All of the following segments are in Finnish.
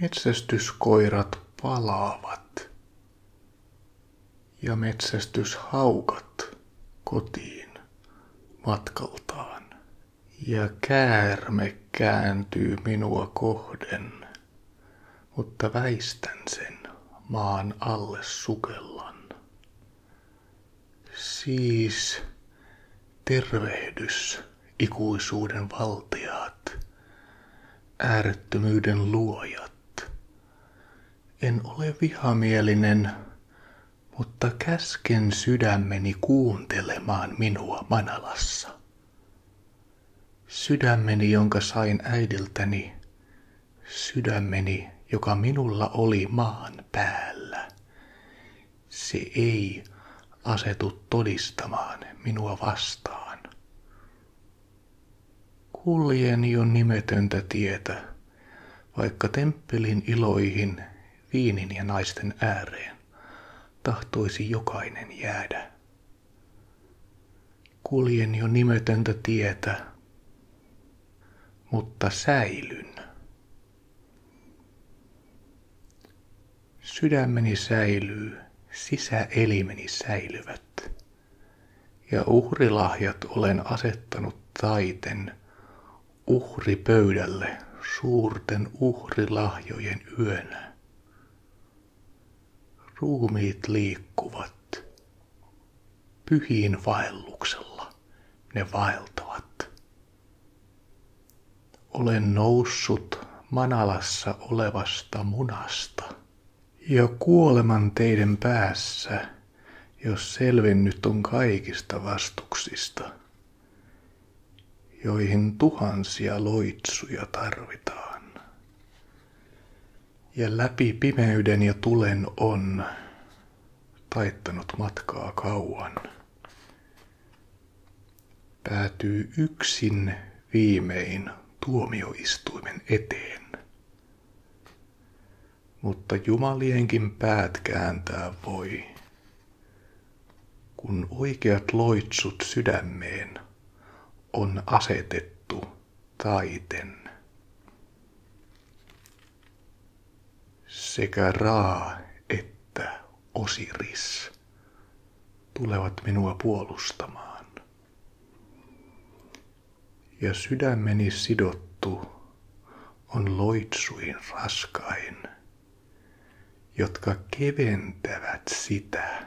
Metsästyskoirat palaavat ja metsästyshaukat kotiin matkaltaan, ja käärme kääntyy minua kohden, mutta väistän sen maan alle sukellan. Siis tervehdys ikuisuuden valtiaat, äärettömyyden luojat. En ole vihamielinen, mutta käsken sydämeni kuuntelemaan minua Manalassa. Sydämeni, jonka sain äidiltäni, sydämeni, joka minulla oli maan päällä, se ei asetu todistamaan minua vastaan. Kuljen jo nimetöntä tietä, vaikka temppelin iloihin, viinin ja naisten ääreen tahtoisi jokainen jäädä. Kuljen jo nimetöntä tietä, mutta säilyn. Sydämeni säilyy, sisäelimeni säilyvät. Ja uhrilahjat olen asettanut taiten uhripöydälle suurten uhrilahjojen yönä. Ruumiit liikkuvat pyhiin vaelluksella ne vaeltavat. Olen noussut manalassa olevasta munasta ja kuoleman teidän päässä, jos selvinnyt on kaikista vastuksista, joihin tuhansia loitsuja tarvitaan. Ja läpi pimeyden ja tulen on taittanut matkaa kauan päätyy yksin viimein tuomioistuimen eteen. Mutta jumalienkin päät kääntää voi, kun oikeat loitsut sydämeen on asetettu taiten sekä Ra että Osiris tulevat minua puolustamaan. Ja sydämeni sidottu on loitsuin raskain, jotka keventävät sitä.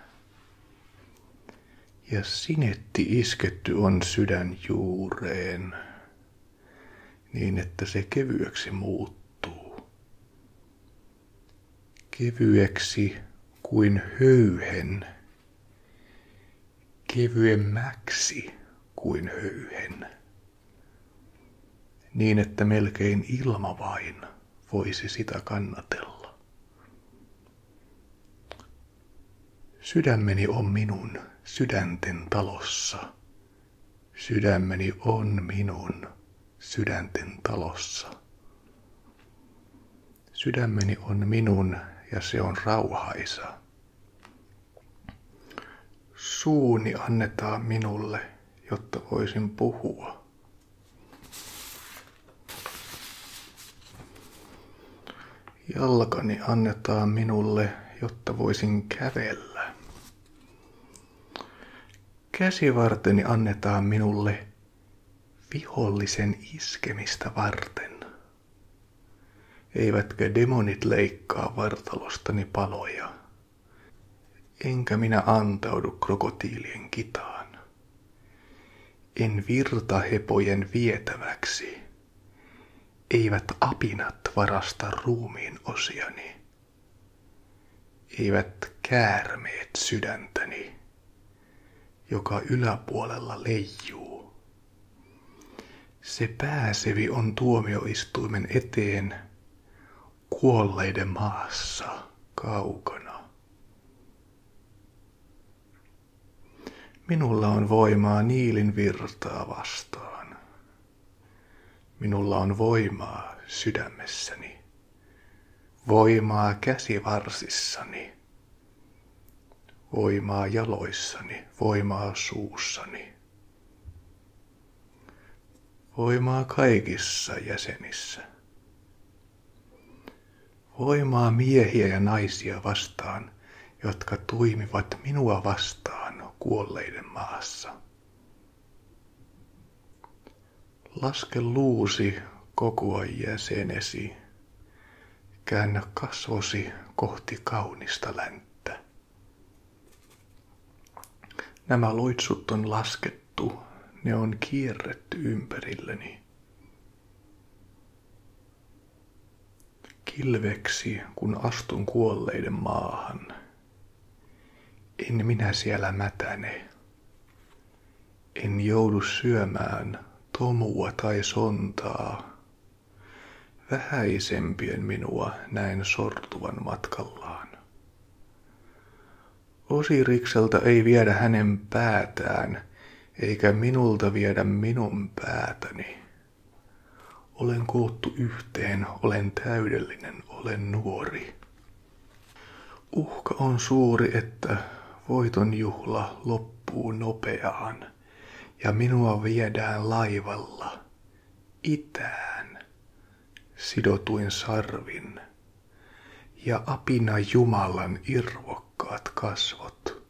Ja sinetti isketty on sydän juureen niin että se kevyeksi muuttuu. Kevyeksi kuin höyhen, kevyemmäksi kuin höyhen, niin että melkein ilma vain voisi sitä kannatella. Sydämeni on minun sydänten talossa Sydämeni on minun sydänten talossa. Sydämeni on minun ja se on rauhaisa. Suuni annetaan minulle, jotta voisin puhua. Jalkani annetaan minulle, jotta voisin kävellä. Käsivarteni annetaan minulle vihollisen iskemistä varten. Eivätkä demonit leikkaa vartalostani paloja, enkä minä antaudu krokotiilien kitaan. En virta hepojen vietäväksi eivät apinat varasta ruumiin osiani. Eivät käärmeet sydäntäni, joka yläpuolella leijuu. Se pääsevi on tuomioistuimen eteen kuolleiden maassa kaukana. Minulla on voimaa niilin virtaa vastaan. Minulla on voimaa sydämessäni, voimaa käsivarsissani, voimaa jaloissani, voimaa suussani, voimaa kaikissa jäsenissä, voimaa miehiä ja naisia vastaan – jotka tuimivat minua vastaan kuolleiden maassa. Laske luusi kokoa jäsenesi. Käännä kasvosi kohti kaunista länttä. Nämä loitsut on laskettu, ne on kierretty ympärilleni. Kilveksi, kun astun kuolleiden maahan. En minä siellä mätäne. En joudu syömään tomua tai sontaa. Vähäisempien minua näin sortuvan matkallaan. Osirikselta ei viedä hänen päätään, eikä minulta viedä minun päätäni. Olen koottu yhteen, olen täydellinen, olen nuori. Uhka on suuri, että voiton juhla loppuu nopeaan ja minua viedään laivalla itään sidotuin sarvin ja apina Jumalan irvokkaat kasvot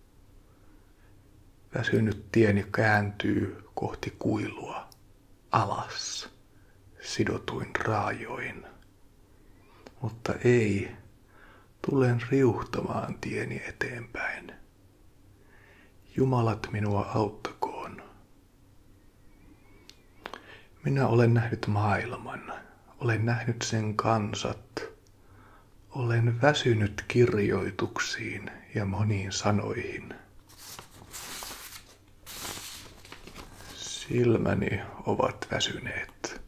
Väsynyt tieni kääntyy kohti kuilua, alas, sidotuin raajoin. Mutta ei, tulen riuhtamaan tieni eteenpäin. Jumalat minua auttakoon. Minä olen nähnyt maailman, olen nähnyt sen kansat, olen väsynyt kirjoituksiin ja moniin sanoihin. Silmäni ovat väsyneet.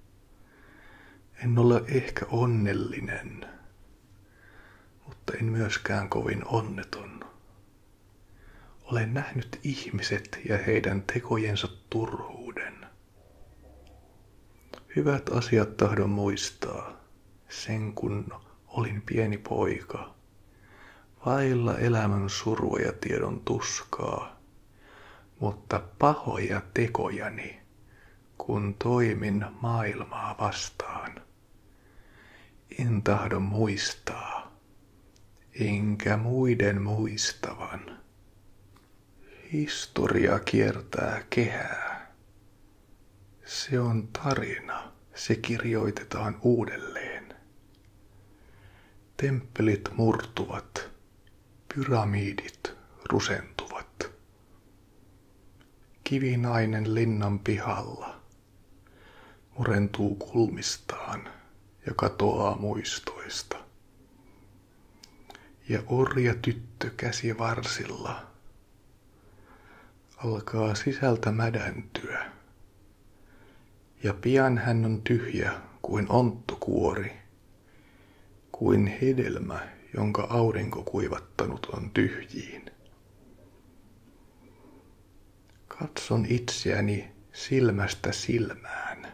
En ole ehkä onnellinen, mutta en myöskään kovin onneton. Olen nähnyt ihmiset ja heidän tekojensa turhuuden. Hyvät asiat tahdon muistaa sen kun olin pieni poika, vailla elämän surua ja tiedon tuskaa, mutta pahoja tekojani, kun toimin maailmaa vastaan. En tahdo muistaa, enkä muiden muistavan. Historia kiertää kehää se on tarina. Se kirjoitetaan uudelleen. Temppelit murtuvat. Pyramidit rusentuvat. Kivinainen linnan pihalla murentuu kulmistaan ja katoaa muistoista. Ja orja tyttö käsi varsilla alkaa sisältä mädäntyä. Ja pian hän on tyhjä kuin onttokuori, kuin hedelmä, jonka aurinko kuivattanut on tyhjiin. Katson itseäni silmästä silmään.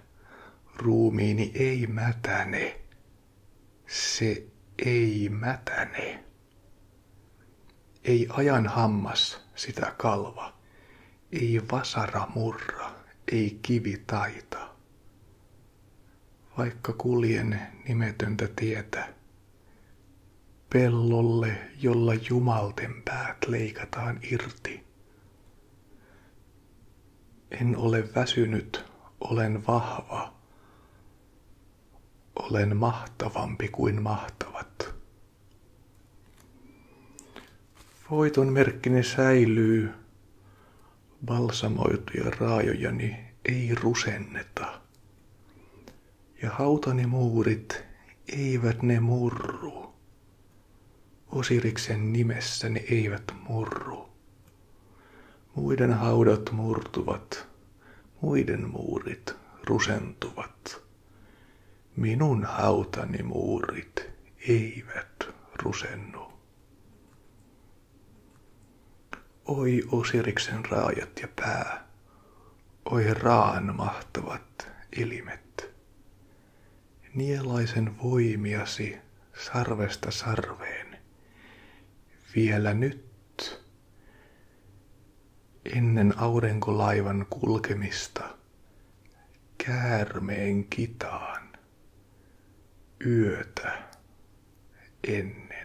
Ruumiini ei mätäne, se ei mätäne. Ei ajan hammas sitä kalva, ei vasara murra, ei kivi taita. Vaikka kuljen nimetöntä tietä, pellolle, jolla jumalten päät leikataan irti. En ole väsynyt, olen vahva. Olen mahtavampi kuin mahtavat. Voiton merkkini säilyy. Balsamoituja raajojani ei rusenneta. Ja hautani muurit eivät ne murru. Osiriksen nimessä ne eivät murru. Muiden haudat murtuvat, muiden muurit rusentuvat. Minun hautani muurit eivät rusennu. Oi Osiriksen raajat ja pää, oi raan mahtavat elimet. Nielaisen voimiasi sarvesta sarveen vielä nyt, ennen aurinkolaivan kulkemista, käärmeen kitaan yötä ennen.